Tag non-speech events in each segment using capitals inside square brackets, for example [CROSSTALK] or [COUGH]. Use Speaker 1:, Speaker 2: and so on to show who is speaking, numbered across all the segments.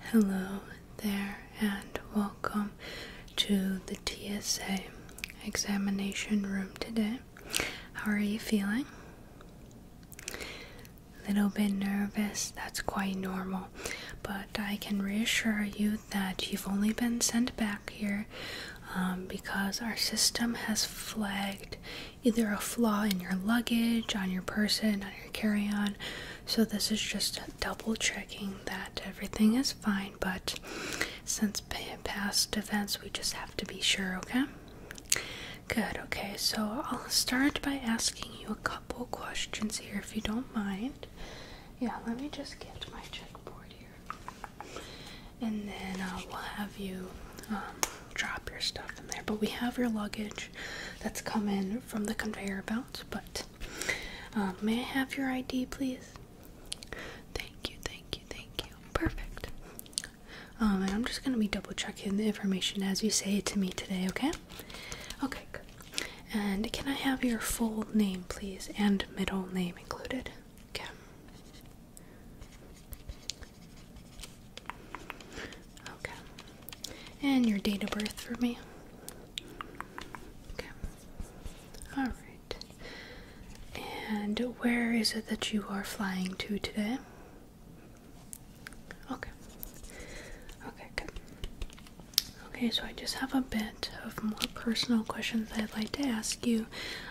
Speaker 1: Hello there, and welcome to the TSA examination room today. How are you feeling? A little bit nervous, that's quite normal. But I can reassure you that you've only been sent back here um, because our system has flagged either a flaw in your luggage, on your person, on your carry on. So this is just double checking that everything is fine. But since past events, we just have to be sure, okay? Good, okay, so I'll start by asking you a couple questions here if you don't mind. Yeah, let me just get my checkboard here. And then uh, we'll have you um, drop your stuff in there. But we have your luggage that's coming from the conveyor belt. But um, may I have your ID, please? Thank you, thank you, thank you. Perfect. Um, and I'm just going to be double checking the information as you say it to me today, okay? Okay, And can I have your full name, please, and middle name included? Okay. Okay. And your date of birth for me? Okay. Alright. And where is it that you are flying to today? Okay. Okay, good. Okay, so I just have a bit of more personal questions I'd like to ask you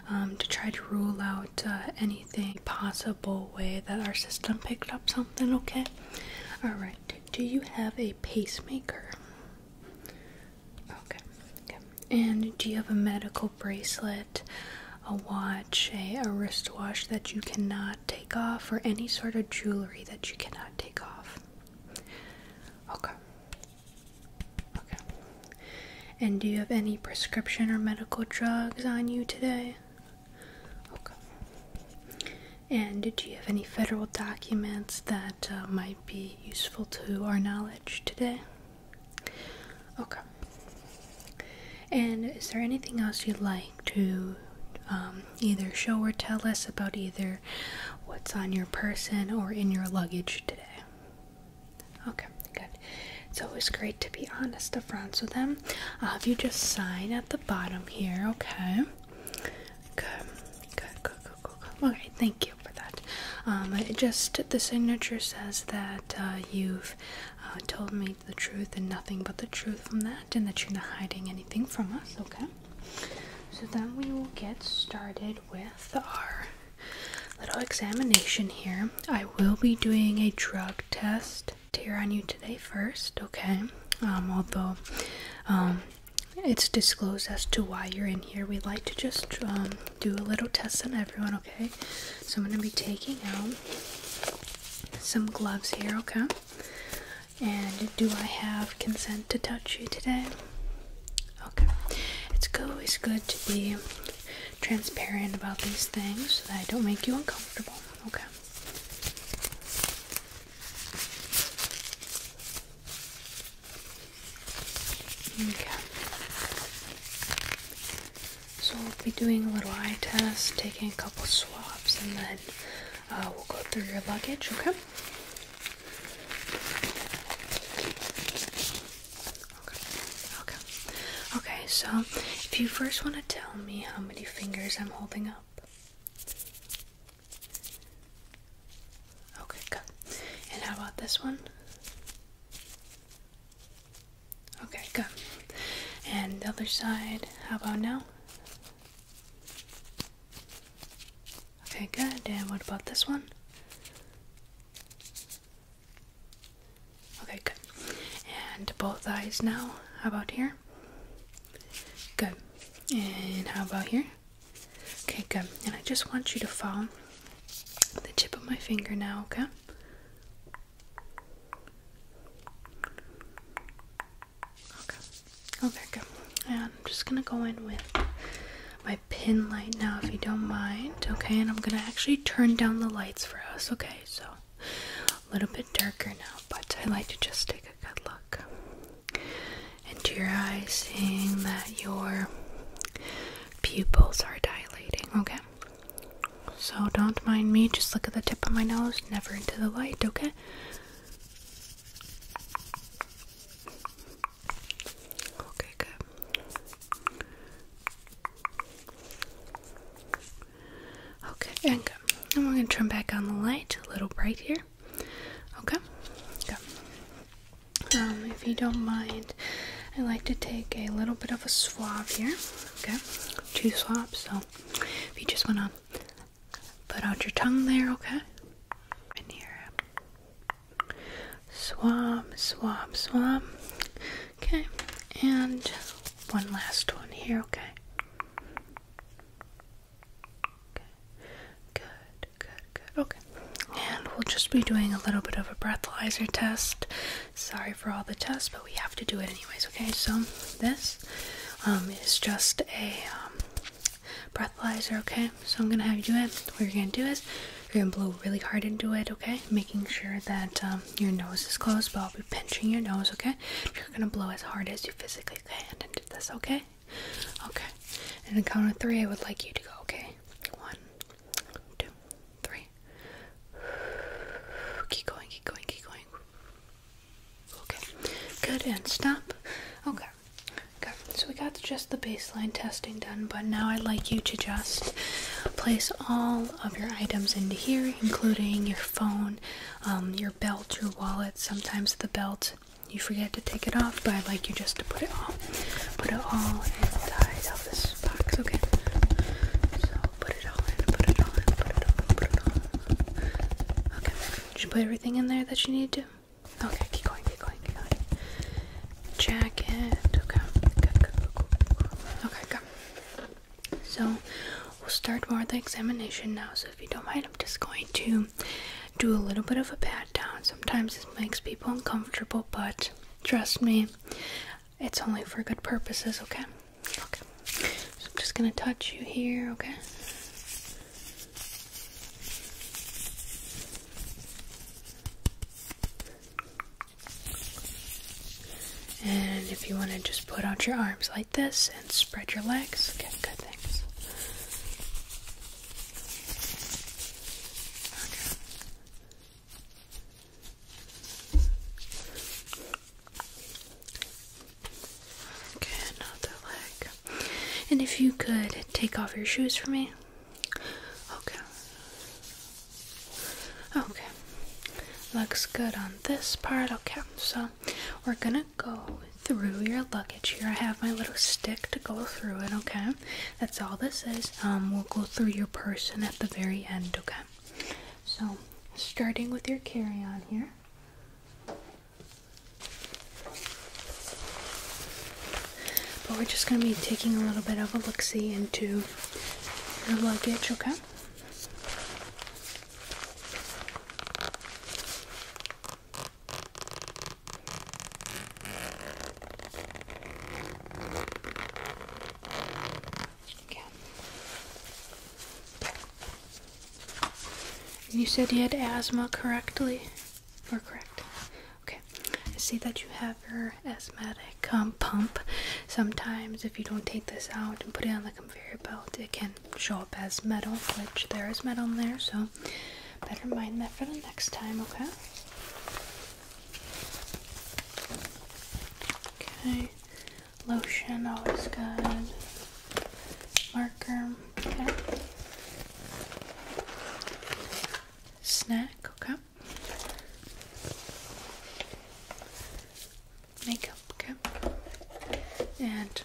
Speaker 1: um, to try to rule out uh, anything possible way that our system picked up something, okay? Alright, do you have a pacemaker? Okay. okay. And do you have a medical bracelet a watch, a, wristwatch that you cannot take off, or any sort of jewelry that you cannot take off. Okay. Okay. And do you have any prescription or medical drugs on you today? Okay. And did you have any federal documents that uh, might be useful to our knowledge today? Okay. And is there anything else you'd like to um, either show or tell us about either what's on your person or in your luggage today? Okay, good. It's always great to be honest upfront with them. I'll you just sign at the bottom here, okay? Good, good, good, good, good. good. Okay, thank you for that. Um, just the signature says that uh, you've uh, told me the truth and nothing but the truth from that, and that you're not hiding anything from us, okay? So then we will get started with our little examination here. I will be doing a drug test here on you today first, okay? Um, although um, it's disclosed as to why you're in here, we like to just um, do a little test on everyone, okay? So I'm going to be taking out some gloves here, okay? And do I have consent to touch you today? Okay. It's always good to be transparent about these things so that I don't make you uncomfortable, okay? Okay. So we'll be doing a little eye test, taking a couple swabs, and then uh, we'll go through your luggage, Okay. Okay. Okay, so if you first want to tell me how many fingers I'm holding up. Okay, good. And how about this one? Okay, good. And the other side, how about now? Okay, good. And what about this one? Okay, good. And both eyes now, how about here? Good. And how about here? Okay, good. And I just want you to follow the tip of my finger now, okay? Okay. Oh, good. And I'm just gonna go in with my pin light now, if you don't mind. Okay, and I'm gonna actually turn down the lights for us. Okay, so a little bit darker now, but I would like to just take a good look into your eyes, seeing that your pupils are dilating. Okay. So don't mind me, just look at the tip of my nose, never into the light, okay? Okay, good. Okay, and good. And we're gonna turn back on the light, a little bright here. Okay, good. Um, if you don't mind, I like to take a little bit of a swab here. Okay, two swabs, so if you just want to put out your tongue there, okay? In here. Swab, swab, swab. Okay, and one last one here, Okay, good, good, good. Okay, and we'll just be doing a little bit of a breathalyzer test Sorry for all the tests, but we have to do it anyways, okay? So, this um, is just a um, breathalyzer, okay? So, I'm gonna have you do it. What you're gonna do is you're gonna blow really hard into it, okay? Making sure that um, your nose is closed, but I'll be pinching your nose, okay? You're gonna blow as hard as you physically can into this, okay? Okay. And on count of three, I would like you to go, okay? One, two, three. Okay. [SIGHS] Keep going, keep going, keep going. Okay. Good and stop. Okay. Okay. So we got just the baseline testing done, but now I'd like you to just place all of your items into here, including your phone, um, your belt, your wallet. Sometimes the belt you forget to take it off, but I'd like you just to put it all, put it all inside of this box. Okay. Put it all in, put it all in, put it all in, put it all in. Okay. Did you put everything in there that you need to? Okay, keep going, keep going, keep going. Jacket. Okay. Good, good, good, Okay, So we'll start more the examination now. So if you don't mind, I'm just going to do a little bit of a pat down. Sometimes this makes people uncomfortable, but trust me, it's only for good purposes, okay? Okay. So I'm just gonna touch you here, okay? And if you want to just put out your arms like this and spread your legs, okay, good things. Okay, another leg. And if you could take off your shoes for me. Okay. Okay. Looks good on this part. Okay, so we're gonna go through your luggage here. I have my little stick to go through it, okay? That's all this is. Um, we'll go through your person at the very end, okay? So, starting with your carry on here. But we're just going to be taking a little bit of a look see into your luggage, okay? You said you had asthma correctly? Or correct? Okay. see that you have your asthmatic um, pump. Sometimes, if you don't take this out and put it on the conveyor belt, it can show up as metal, which there is metal in there, so better mind that for the next time, okay? Okay. Lotion, always good. Marker, okay. Snack, okay. Makeup, okay. And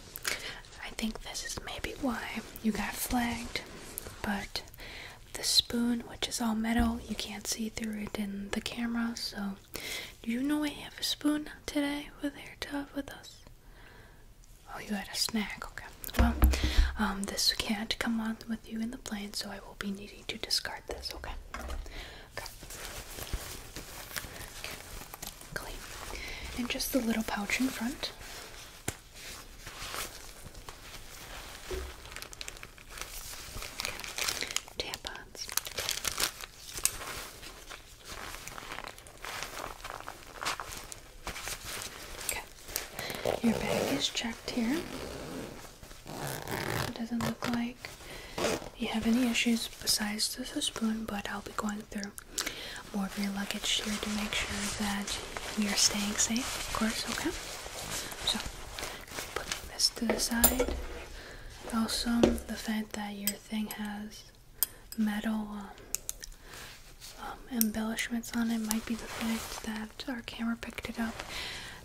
Speaker 1: I think this is maybe why you got flagged, but the spoon, which is all metal, you can't see through it in the camera, so do you know we have a spoon today with hair tub with us? Oh, you had a snack. Okay. Well, um, this can't come on with you in the plane, so I will be needing to discard this. Okay. Okay. Clean. And just the little pouch in front. Tampons. Your bag is checked here. It doesn't look like you have any issues besides the spoon, but I'll be going through more of your luggage here to make sure that we are staying safe, of course, okay? So, put this to the side. Also, the fact that your thing has metal um, um, embellishments on it might be the fact that our camera picked it up.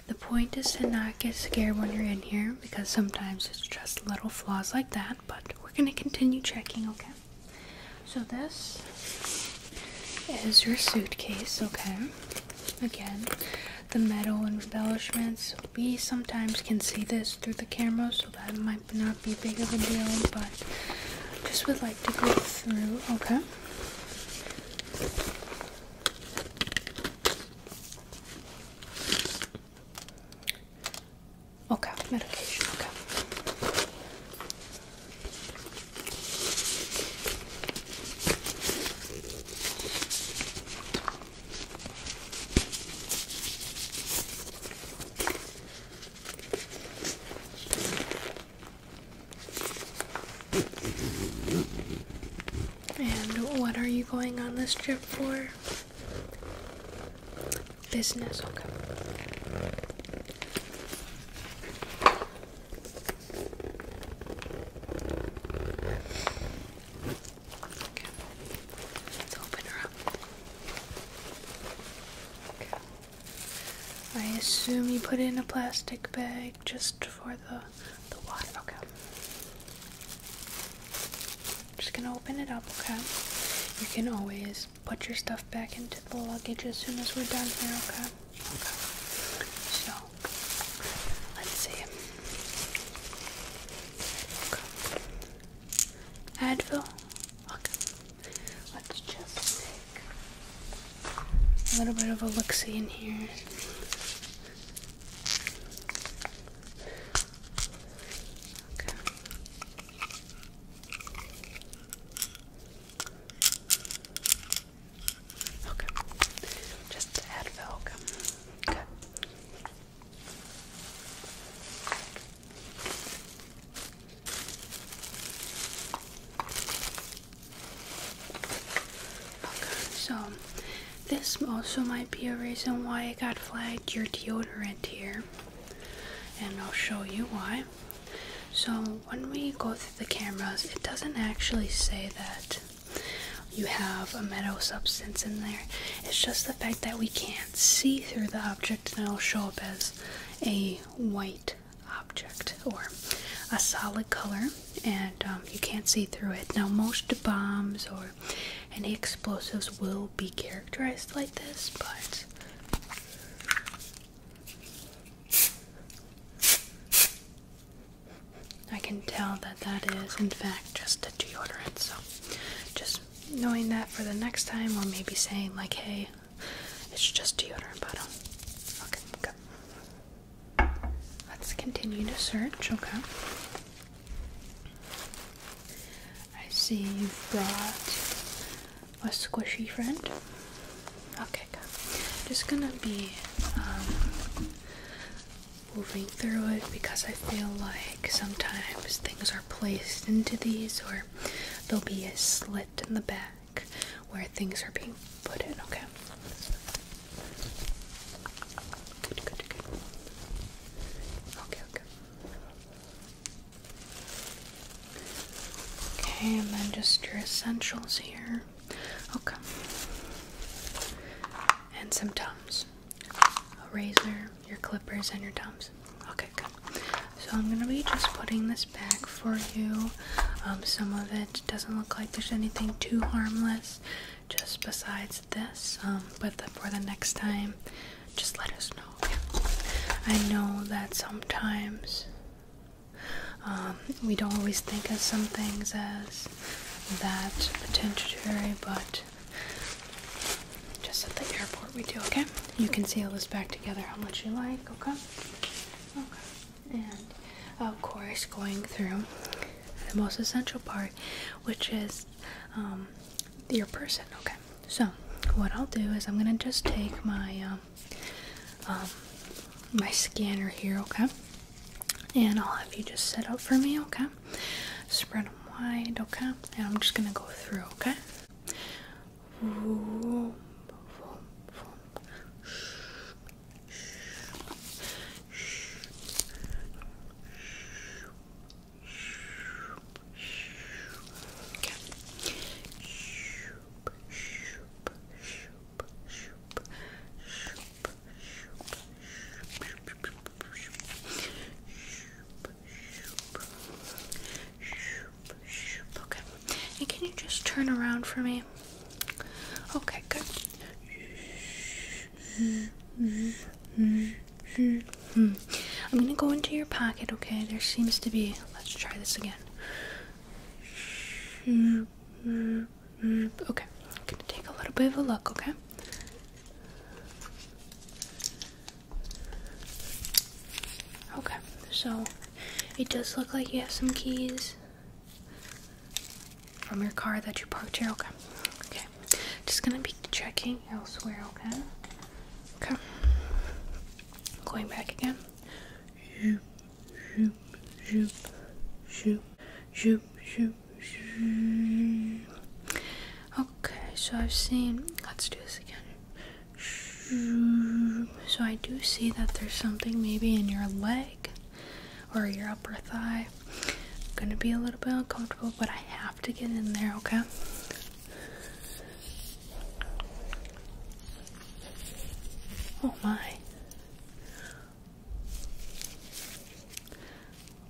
Speaker 1: The point is to not get scared when you're in here because sometimes it's just little flaws like that, but we're going to continue checking, okay? So, this is your suitcase, okay? Again, the metal embellishments. We sometimes can see this through the camera, so that might not be big of a deal, but just would like to go through, okay? Okay, medication, okay. And what are you going on this trip for? Business, Let's open her up. Okay. I assume you put it in a plastic bag just for the the water. Okay. just gonna open it up, okay? You can always put your stuff back into the luggage as soon as we're done here, okay? Okay. So let's see. Okay. Advil. Okay. Let's just take a little bit of elixir in here. Okay. Okay. Just Advil. Okay. okay so this also might be a reason why it got flagged your deodorant here, and I'll show you why. So, when we go through the cameras, it doesn't actually say that you have a metal substance in there. It's just the fact that we can't see through the object and it'll show up as a white object or a solid color and um, you can't see through it. Now most bombs or any explosives will be characterized like this but I can tell that that is in fact just deodorant. So just knowing that for the next time, or maybe saying like, "Hey, it's just deodorant bottle." Okay, good. Let's continue to search. Okay. I see you've brought a squishy friend. Okay, good. Just gonna be um, moving through it because I feel like sometimes things are placed into these or there'll be a slit in the back where things are being put in, okay? Good, good, good. Okay, okay. Okay, and then just your essentials here. Okay. And some Tums a razor, your clippers, and your dumbs. Okay, good. So I'm gonna be just putting this back for you. Um, some of it doesn't look like there's anything too harmless, just besides this. Um, but for the next time, just let us know. I know that sometimes um, we don't always think of some things as that potentiary, but just at the airport we do, okay? You can seal this back together how much you like, okay? Okay. And of course, going through the most essential part, which is um, your person, okay? So, what I'll do is I'm gonna just take my um, um, my scanner here, okay? And I'll have you just set up for me, okay? Spread them wide, okay? And I'm just gonna go through, Okay. And can you just turn around for me? Okay, good. I'm gonna go into your pocket, okay? There seems to be. Let's try this again. Okay, I'm gonna take a little bit of a look, okay? Okay, so it does look like you have some keys from your car that you parked here. Okay, okay. Just gonna be checking elsewhere. Okay. Okay. Going back again. Okay, so I've seen. Let's do this again. So I do see that there's something maybe in your leg or your upper thigh. I'm gonna be a little bit uncomfortable, but I have to get in there, okay? Oh my.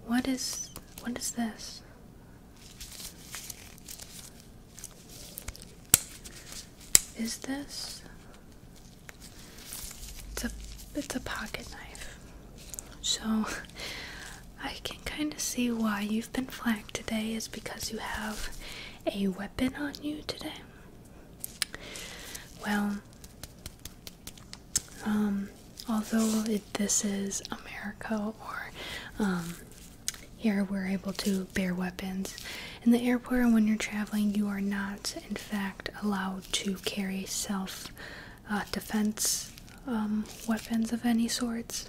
Speaker 1: What is what is this? Is this? It's a it's a pocket knife. So I can kind of see why you've been flagged today is because you have a weapon on you today. Well, um, although this is America or um, here we're able to bear weapons. In the airport, when you're traveling, you are not, in fact, allowed to carry self uh, defense um, weapons of any sorts.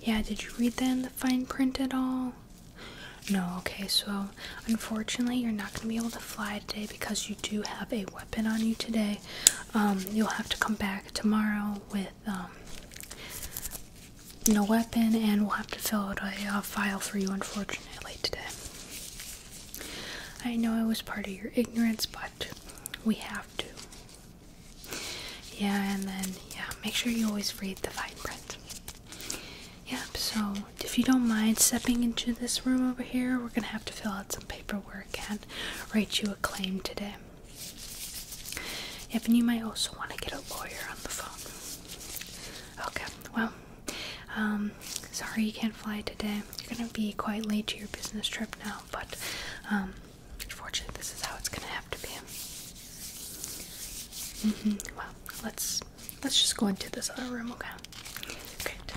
Speaker 1: Yeah, did you read the fine print at all? No, okay, so unfortunately, you're not going to be able to fly today because you do have a weapon on you today. Um, you'll have to come back tomorrow with um, no weapon, and we'll have to fill out a file for you, unfortunately, today. I know it was part of your ignorance, but we have to. Yeah, and then, yeah, make sure you always read the fine print. Yep, so if you don't mind stepping into this room over here, we're gonna have to fill out paperwork and write you a claim today. Yep, you might also want to get a lawyer on the phone. Okay, well, um, sorry you can't fly today. You're gonna be quite late to your business trip now, but um, unfortunately, this is how it's gonna have to be. Mm-hmm, well, let's let's just go into this other room, okay? Great.